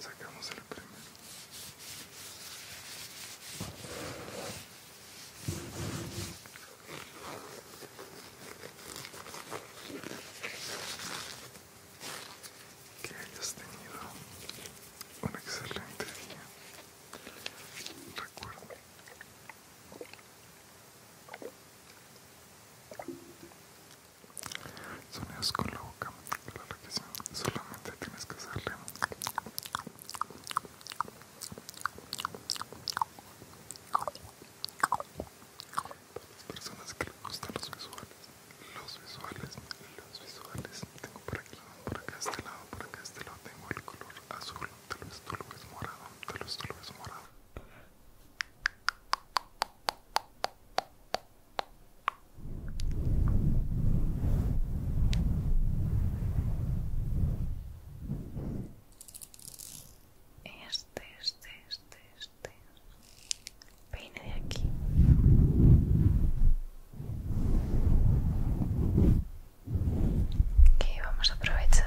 Sacamos el primero. Que hayas tenido un excelente día. Recuerda sonidos con la boca, que solamente tienes que hacerle para las personas que les gustan los visuales, los visuales, los visuales, tengo por aquí, por acá, este lado, por acá, este lado, tengo el color azul, tal vez tú lo ves morado, tal vez tú lo ves morado. Este, este, este, este. Peine de aquí. Que vamos a aprovechar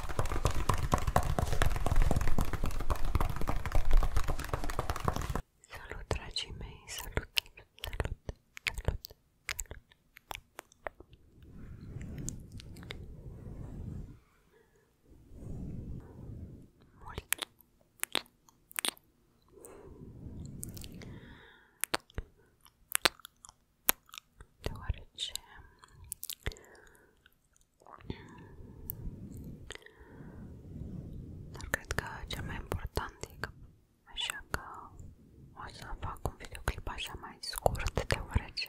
Salut, dragii mei, salut, salut, salut, salut. Mult. Deoarece dar cred că cel mai important e că așa că o să fac un videoclip așa mai scurt deoarece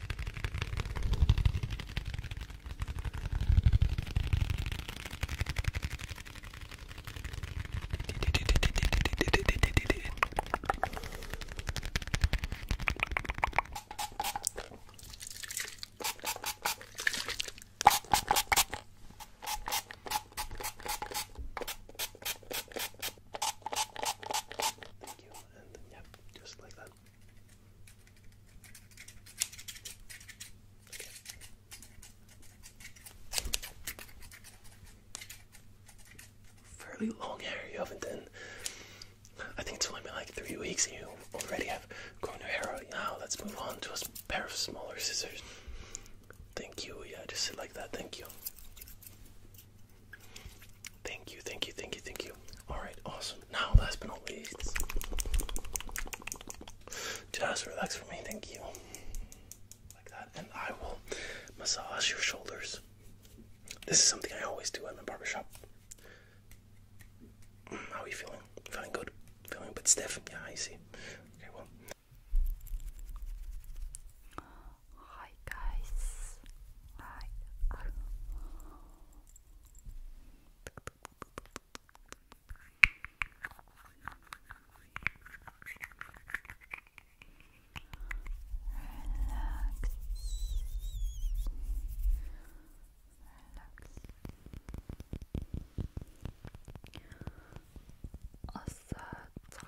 Thank you, and yep, just like that. Fairly long hair you haven't done. I think it's only been like three weeks and you already have grown your hair out. Now let's move on to a pair of smaller scissors. Thank you. Yeah, just sit like that. Thank you. Thank you, thank you, thank you, thank you. Alright, awesome. Now, last but not least, just relax for me, thank you. Like that, and I will massage your shoulders. This is something I always do at my barbershop. Mm, how are you feeling? Feeling good? Feeling a bit stiff? Yeah, I see. Okay, well. Hi guys. Hi. Relax. Relax. Asad.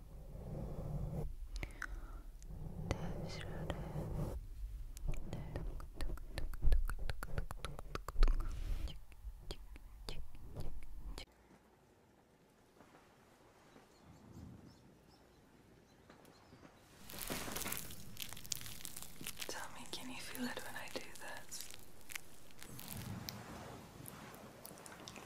Tell me, can you feel it when I do this?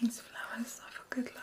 These flowers are for good luck.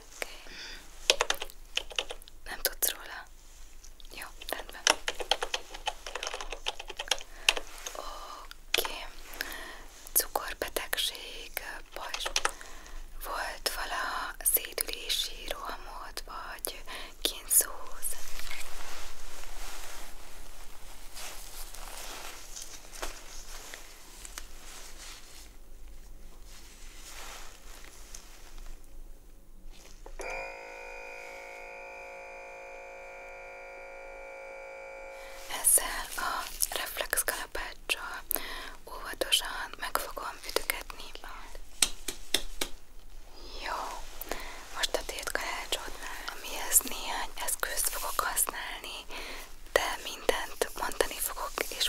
Nem tudsz róla? Jó, rendben. Oké. Okay. Cukorbetegség, baj. Volt vala szédülési rohamod, vagy kínzóz? Ezzel a reflexkalapáccsal óvatosan meg fogom ütögetni Jó, most a tétkalácsodnál, amihez néhány eszközt fogok használni, de mindent mondani fogok és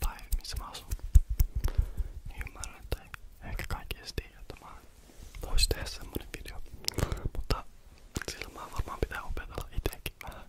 Tai missä mä asun. Niin ymmärrän, että ehkä kaikki edes tiedä, että mä vois tehdä semmonen video. Mutta sillä mä varmaan pitää opetella itsekin vähän.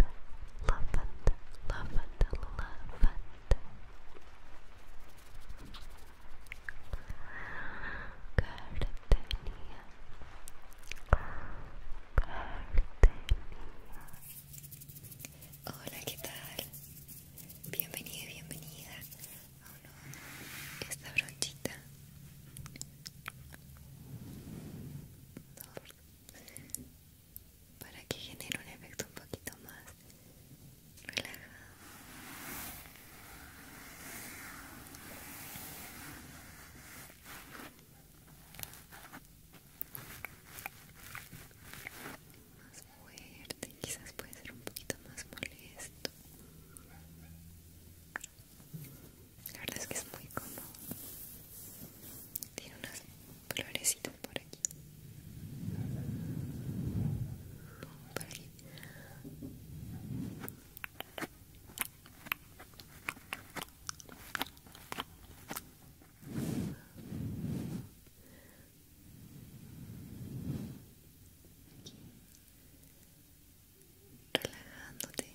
lavender, lavender, lavender, lavender. Gardenia, Gardenia. Hola, ¿qué tal? Bienvenida, bienvenida a oh, no. esta brochita. No para que genere un efecto un poquito más relajado. Más fuerte, quizás puede ser un poquito más molesto. La verdad es que es muy cómodo. Tiene unas florecitas por aquí. Por aquí. Relajándote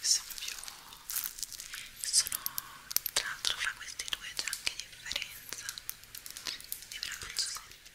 sono più sono tra l'altro fra questi due c'è anche differenza e ve la faccio sentire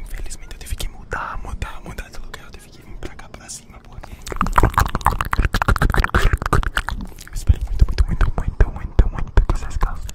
Infelizmente eu tive que mudar, mudar, mudar de lugar. Eu tive que vir pra cá pra cima, espero muito, muito, muito, muito, muito, que vocês gostem.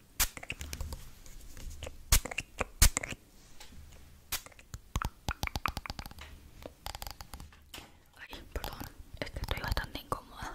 Ay, perdón, es que estoy bastante incómoda.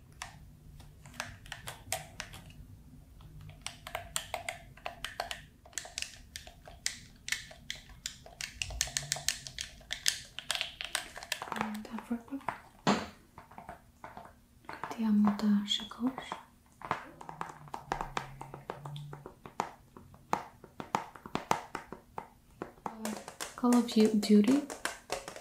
Tavrupa Andiamo da Shakosh Call of Duty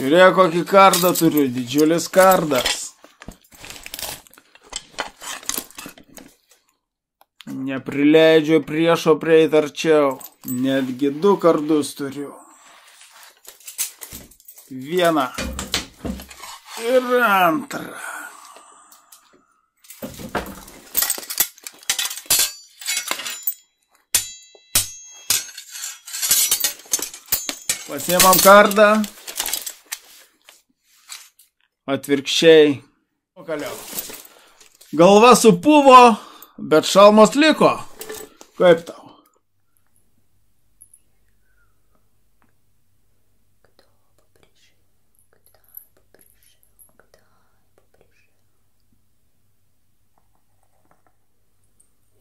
Žiūrėk, kokį kardą turiu, didžiulis kardas. Neprileidžiu priešo prieit arčiau, netgi du kardus turiu. Vieną ir antrą. Pasiemam kardą. Atvirkščiai. Pagaliau. Galva supuvo, bet šalmos liko. Kaip tau? Кто бы пришел, кто бы пришел, кто бы пришел.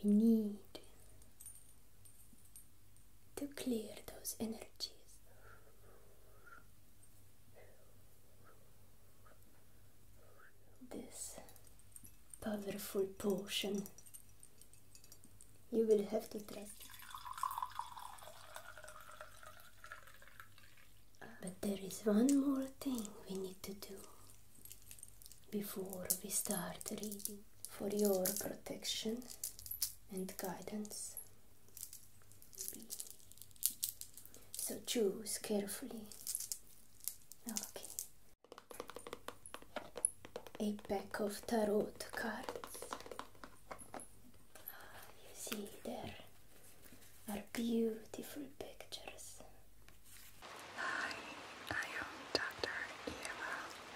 We need to clear those energies. This powerful potion. You will have to try. But there is one more thing we need to do before we start reading for your protection and guidance. So choose carefully. Okay, a pack of tarot cards. see, there are beautiful pictures. Hi, I am Dr. Eva.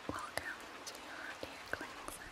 Welcome to your ear cleansing.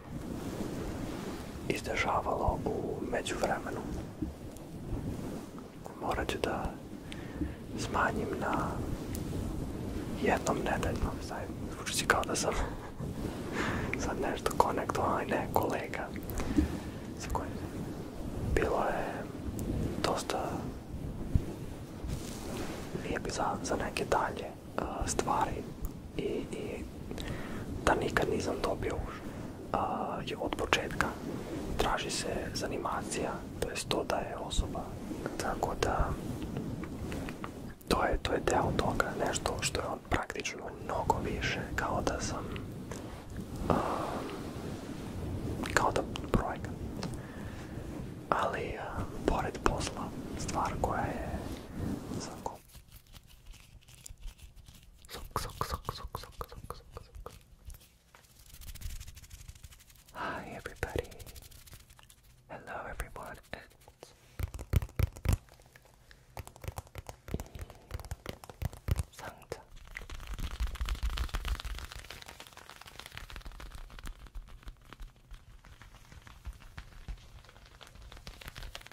je izdešavalo u međuvremenu. Morat ću da smanjim na jednom nedeljno. Zvuči si kao da sam sad nešto konektovan, ne kolega bilo je dosta lijepi za, neke dalje stvari i, da nikad nisam dobio je od početka. Traži se zanimacija, to je to da je osoba, tako da to je, to je deo toga, nešto što je on praktično mnogo više, kao da sam, kao da projekat. Ali, pored posla, stvar koja je, za sock, sock, sock, sock, sock, sock, sock. Hi, everybody. Hello, everyone. It's Santa.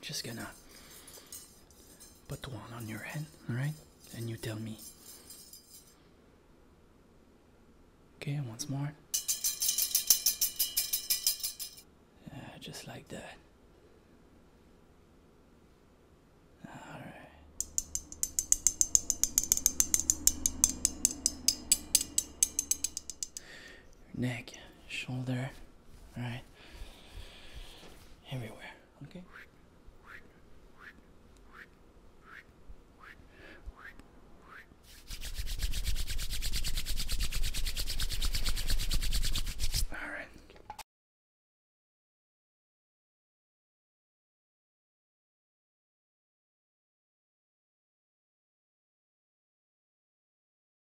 Just gonna put one on your head, alright? And you tell me. Okay, once more. Uh, just like that. neck shoulder, right? Everywhere, okay? All right.